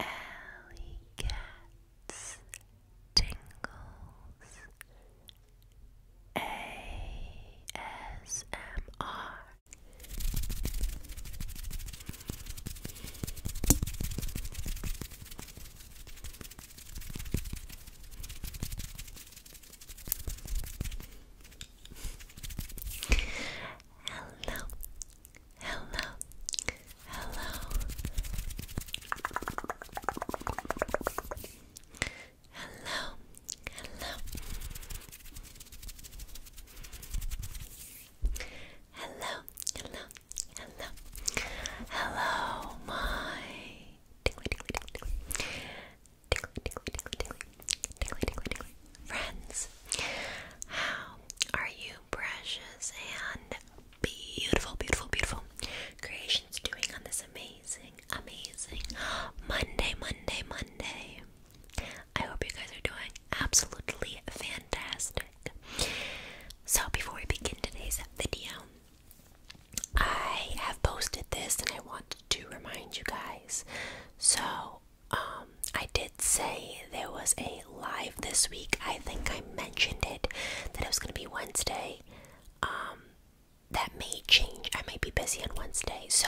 Alley Cats Tingles ASMR Hello, Hello. Hello. Hello. Hello. Hello. Hello. Hello. my Friends, how are you, precious and beautiful, beautiful, beautiful creations doing on this amazing, amazing Monday, Monday, Monday? I hope you guys are doing absolutely fantastic. So, before we begin today's video, I have posted this and I want to remind you guys. So, um, I did say there was a live this week. I think I mentioned it that it was going to be Wednesday. Um, that may change. I may be busy on Wednesday, so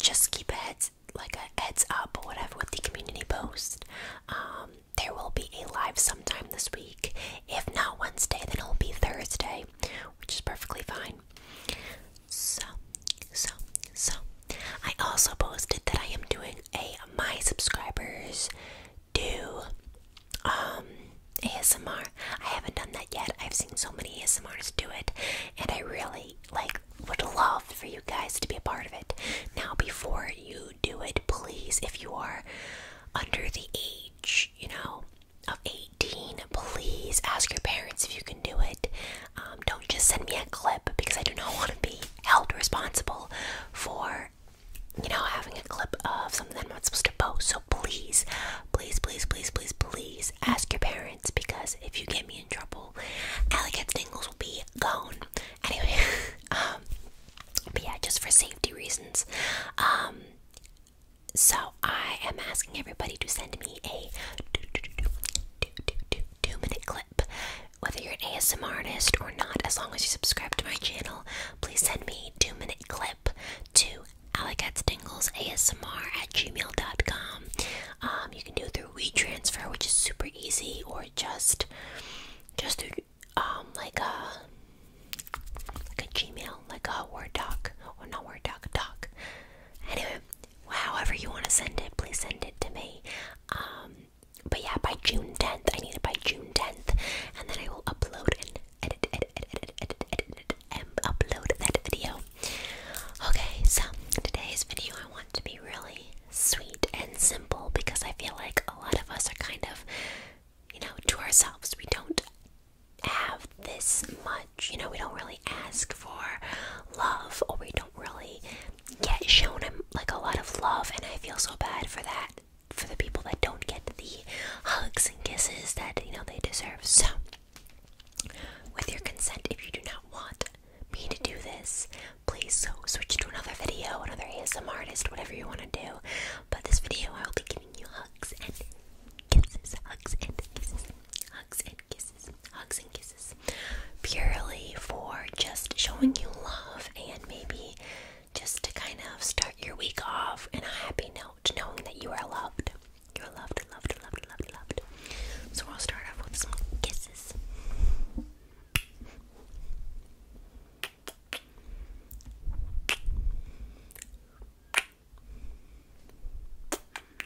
just keep a heads like a heads up or whatever with the community post. Um, there will be a live sometime this week. If not Wednesday, then it'll be Thursday, which is perfectly fine. So, so, so, I also posted that I am doing a my subscribers do um ASMR. I haven't done that yet. I've seen so many ASMRs do it, and I really like would love for you guys to be a part of it. Now, before you do it, please, if you are under the age, you know, of 18, please ask your parents if you can do it. Um, don't just send me a clip because I do not want to be held responsible for, you know, having a clip of something that I'm not supposed to post. So please, please, please, please, please, please ask your parents because if you get me in trouble, Alley Cat's Dingles will be gone. Anyway, um, but yeah, just for safety reasons. Um, so I am asking everybody to send me a Two minute clip. Whether you're an ASMR artist or not, as long as you subscribe to my channel, please send me a two minute clip to ASMR at gmail.com. Um, you can do it through WeTransfer, which is super easy, or just just through um like a like a Gmail, like a Word doc, or not Word doc, doc. Anyway, however you want to send it, please send it to me. Um, but yeah, by June 10th, I need it by June 10th, and then I will upload and edit and upload that video. Okay, so today's video I want to be really sweet and simple because I feel like a lot of us are kind of, you know, to ourselves. We don't have this much you know, we don't really ask for love, or we don't really get shown um, like a lot of love. And I feel so bad for that, for the people that don't get the hugs and kisses that you know they deserve. So, with your consent, if you do not want me to do this, please so switch to another video, another ASM artist, whatever you want to do. But this video, I will be giving you hugs and kisses, hugs and kisses, hugs and kisses hugs and kisses, purely for just showing you love and maybe just to kind of start your week off in a happy note, knowing that you are loved. You are loved, loved, loved, loved, loved. So we'll start off with some kisses.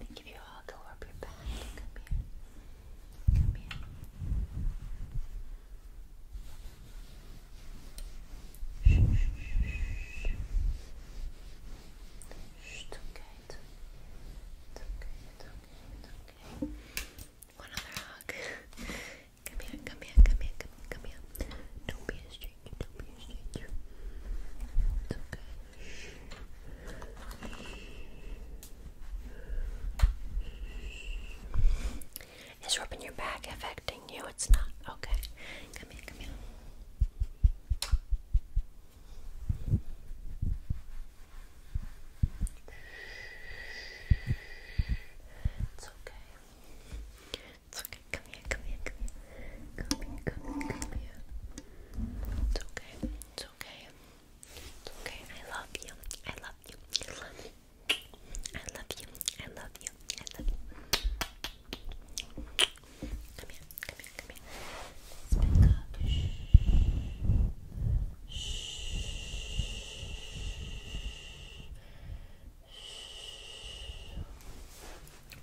Let give you a hug. I'll your back. Come here. Come here. Shh, shh, shh, shh. it's okay, it's okay, it's okay. One other hug. come here, come here, come here, come here, come here. Don't be a stranger, don't be a stranger. It's okay, it's rubbing your back affecting you? It's not. Okay. Come here, come here. It's okay. It's okay. Come here, come here, come here. Come here, come here, It's okay okay. okay. I love you. I love you. I love you. I love you. I love you. I love you. Come here. Come here. Come here. Shh. Shh. Shh.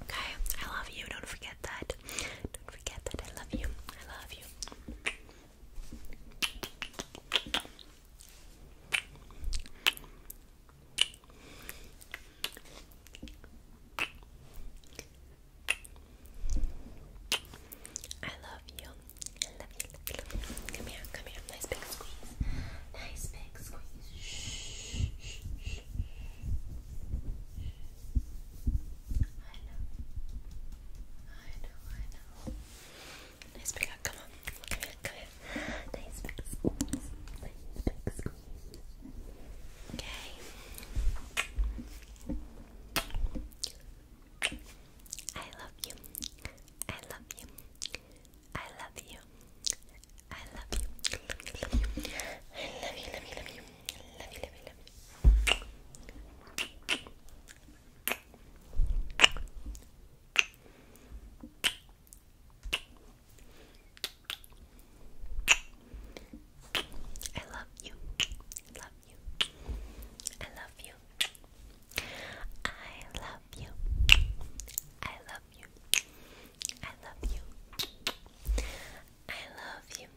Okay, I love you. Don't forget that. Don't forget that I love you. I love you. I love you. Come here, come here. Nice big squeeze. Nice big squeeze. shh much. I know. I know, I know. Nice big hug, come on. Come here, come here. Nice big squeeze. Nice big squeeze. Okay. I love you. I love you. I love you. I love you. I love you. I love you. I love you. I love you. Love love you, I Love you. I love you. I love you. I love you. I love you. I love you.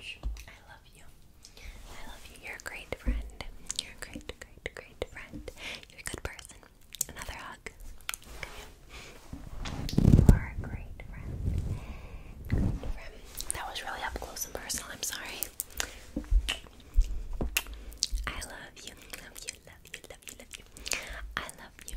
I love you. I love you. You're a great friend. You're a great, great, great friend. You're a good person. Another hug. You are a great friend. That was really up close and personal. I'm sorry. I love you. Love you. Love you. Love you. Love you. I love you.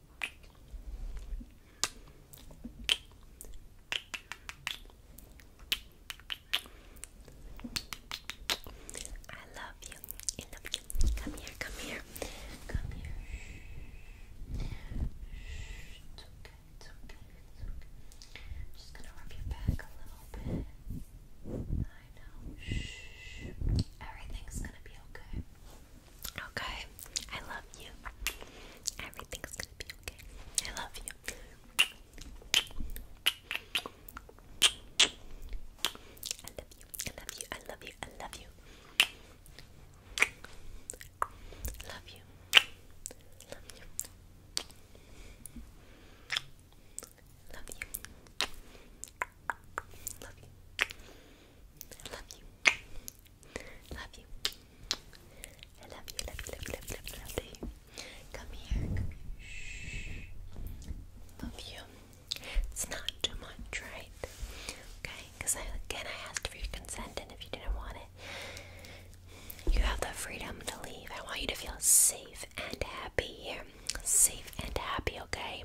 I love you. I love you. Come here, come here. Come here. Shh. It's okay, it's okay, it's okay. I'm just gonna rub your back a little bit. I know. Shh. Everything's gonna be okay. Okay, I love you. Everything's gonna be okay. I love you. I love you. I love you. I love you. I love you. Love you. Love you. Love you. Love you. Love you love you. Love you. I love you, love you, love you, love you, love you, love you. Come here, come here. Shh. Love you. It's not too much, right? Okay, because I, again, I asked for your consent, and if you didn't want it, you have the freedom to leave. I want you to feel safe and happy here. Safe and happy, okay?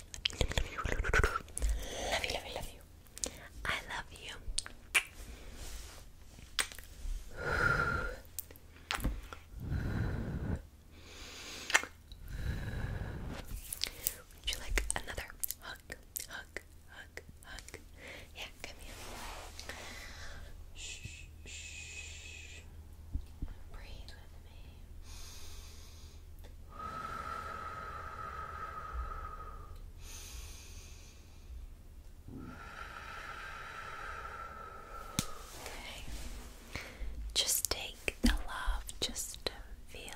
Love you, love you, love you. I love you. Would you like another hug, hug, hug, hug? Yeah, come here. shh. Breathe with me. Just take the love, just feel, feel,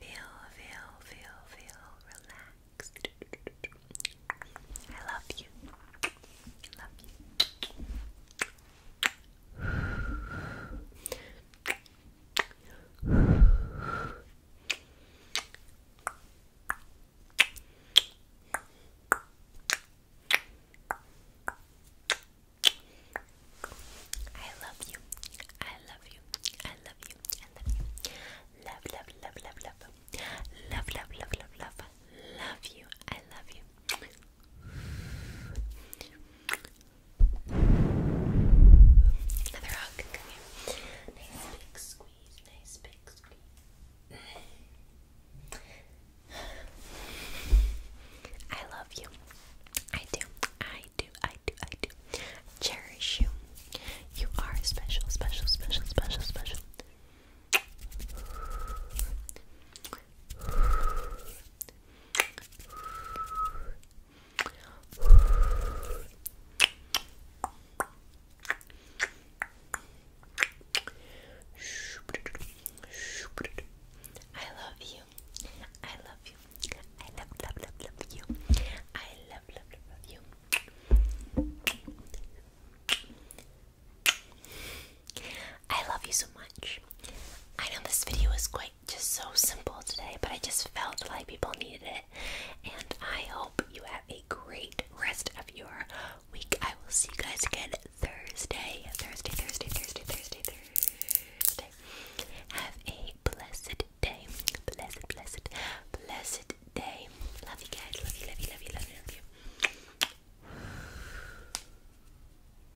feel, feel, feel relaxed. I love you. love you. I love you. I love you. I love you. I love you. Love, love, love, love, love. Love, love, love, love, love. Love you. I love you. Another hug. Nice big squeeze. Nice big squeeze. I love you. I do. I do. I do. I do. Cherish you. You are special, special, special, special, special. I love you. I love you. I love, love, love, love you. I love, love, love, you. I love you so much. I know this video is quite just so simple today, but I just felt like people needed it. And I hope you have a great rest of your week. I will see you guys again Thursday. Thursday, Thursday, Thursday, Thursday, Thursday. Have a blessed day. Blessed, blessed, blessed day. Love you guys. Love you, love you, love you, love you, love you.